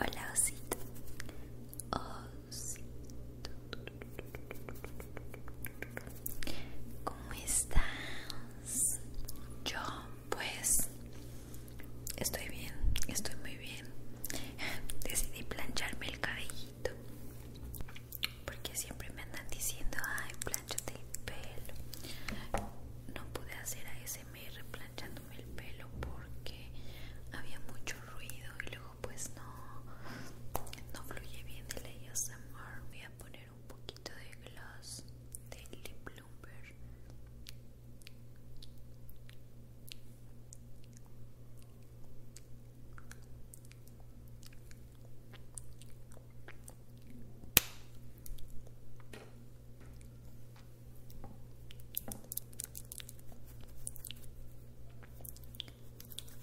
Hola osito, ¿Cómo estás? Yo, pues, estoy bien, estoy muy bien. Decidí plancharme el cabellito. Porque siempre me andan diciendo, ay, plancha el pelo. No pude hacer ASMR planchándome el pelo porque había mucho ruido y luego pues no, no fluye bien el ASMR. Voy a poner un poquito de gloss de Lip Lumber.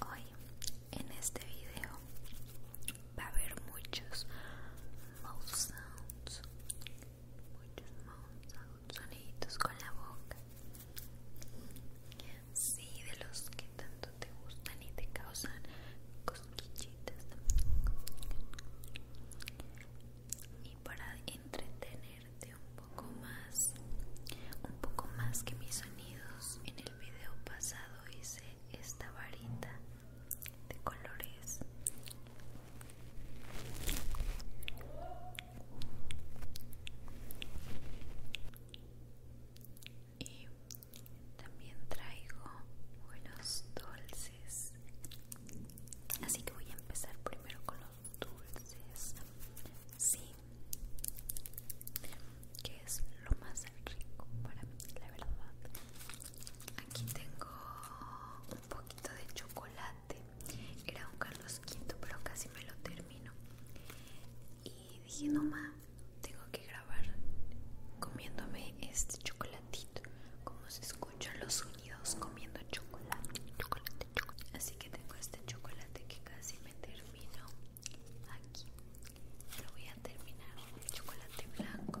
Hoy en este video va a haber muchos mouth sounds, muchos mouth sounds, soniditos con la boca. Sí, de los que tanto te gustan y te causan cosquillitas. Y para entretener un poco más, un poco más que mis sonidos. En el video pasado hice esta varita de colores. Y también traigo buenos dulces. Así que voy a empezar primero con los dulces sí que es lo más rico para mí la verdad aquí tengo un poquito de chocolate era un Carlos V pero casi me lo termino y dije no ma tengo que grabar comiéndome este chocolatito como se escuchan los sonidos comiendo chocolate chocolate Así que tengo este chocolate que casi me termino aquí. Lo voy a terminar con el chocolate blanco.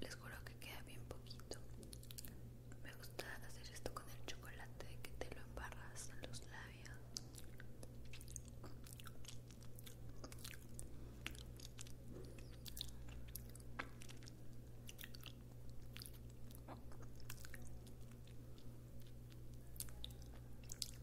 Les juro que queda bien poquito. Me gusta hacer esto con el chocolate que te lo embarras en los labios.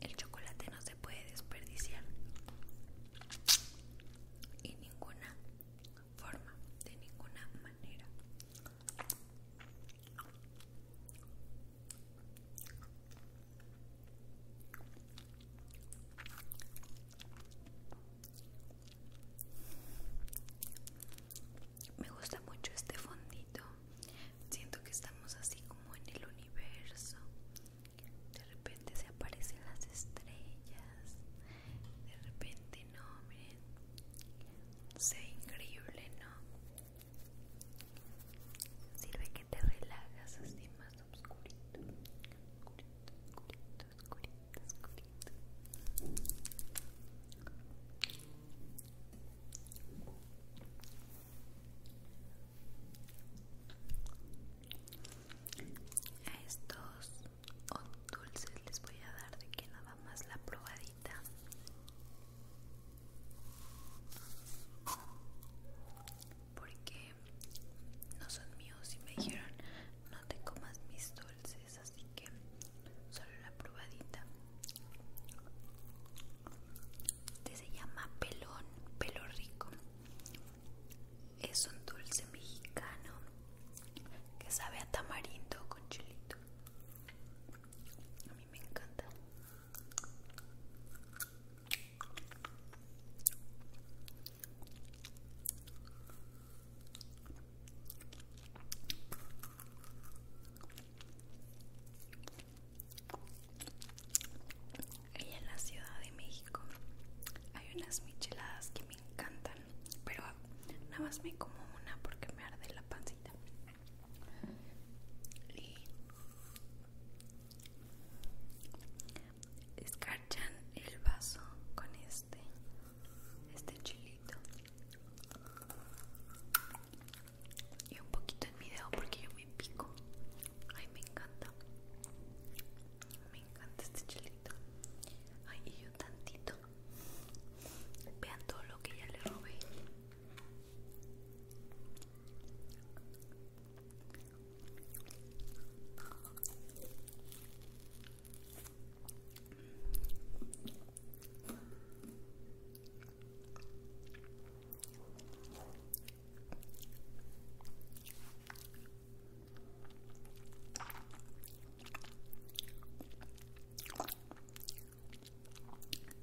El chocolate no se puede desperdiciar en ninguna forma, de ninguna manera me gusta mucho este fondito siento que estamos así como en el universo de repente se aparecen las estrellas de repente no miren se increíble no sirve que te relajas así más oscurito oscurito oscurito a estos dulces les voy a dar de que nada más la probadita. Porque no son míos y me dijeron no te comas mis dulces así que solo la probadita este se llama pelón pelo rico es un dulce mexicano que sabe a tamarindo con chilito a mí me encanta y en la Ciudad de México hay unas micheladas que me encantan, pero nada más me como una porque me arde la pancita. Y escarchan el vaso con este este chilito y un poquito en mi porque yo me pico ay me encanta me encanta este chilito ay y yo tantito vean todo lo que ya le robé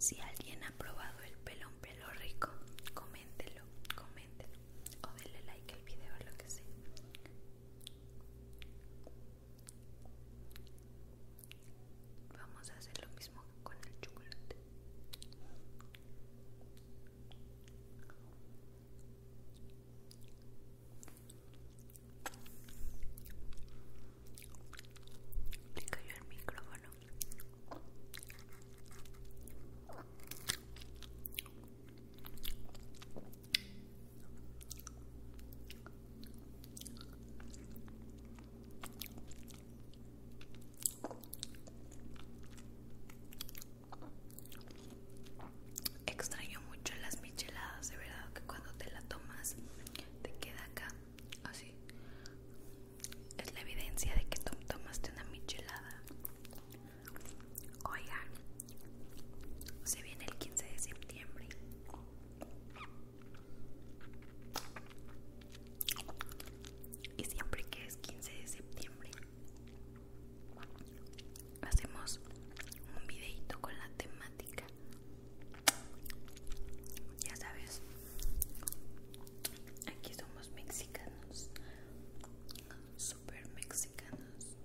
si alguien ha probado el pelón pelo rico, coméntelo, coméntelo o denle like al video lo que sea. Vamos a hacer lo mismo con el chocolate. Le cayó el micrófono. Extraño mucho las micheladas, de verdad que cuando te la tomas te queda acá, así. Es la evidencia de que tomaste una michelada oiga se viene el 15 de septiembre. Y siempre que es 15 de septiembre hacemos un videito con la temática. Ya sabes, aquí somos mexicanos super mexicanos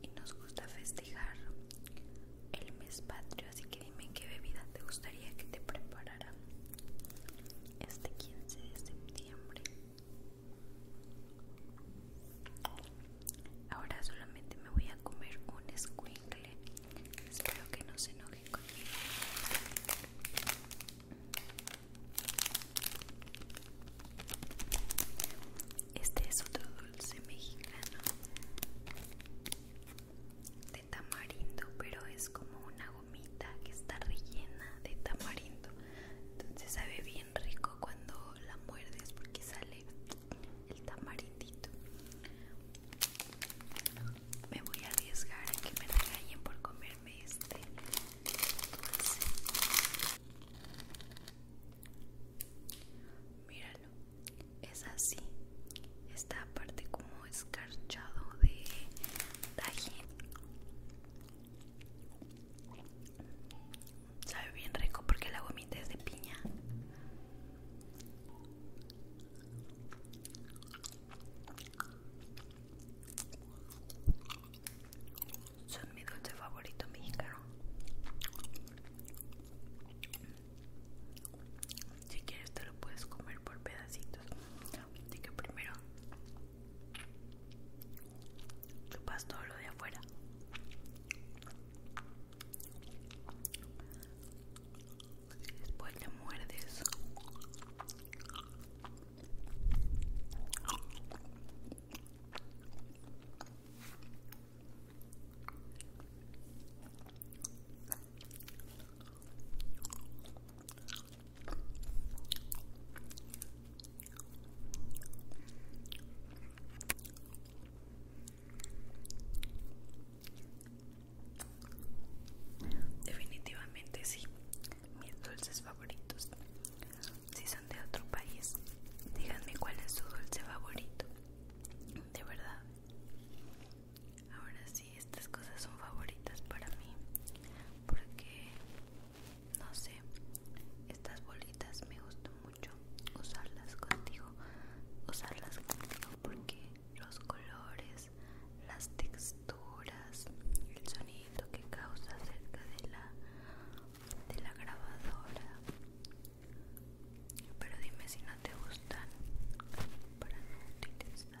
y nos gusta festejar el mes patrio, así que dime qué bebida te gustaría que te preparara este 15 de septiembre. Ahora solamente me voy a comer un squinkle. Espero que no se enojen conmigo. Este es otro dulce mexicano de tamarindo, pero es como una gomita que está rellena de tamarindo. Entonces sabe bien rico cuando la muerdes porque sale el tamarindito. Me voy a arriesgar a que me regañen por comerme este Míralo, es así. Esta parte como escarchado de tajín. Sabe bien rico porque la gomita es de piña. Son mi dulce favorito mexicano. Si quieres te lo puedes comer por pedacitos. Así que primero chupas todo lo de afuera. Después te muerdes Definitivamente sí, mis dulces favoritos. Si son de otro país, díganme cuál es su dulce favorito. De verdad. Ahora sí, estas cosas son favoritas para mí. Porque, no sé, estas bolitas me gustan mucho usarlas contigo. Usarlas contigo porque los colores, las texturas, el sonido que causa cerca de la, de la grabadora. Pero dime si no te gustan para no utilizar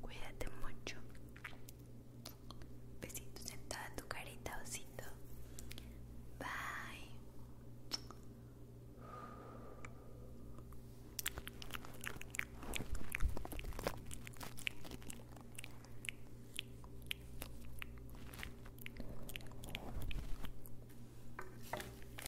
Cuídate mucho. Besitos en toda tu carita, osito. Bye.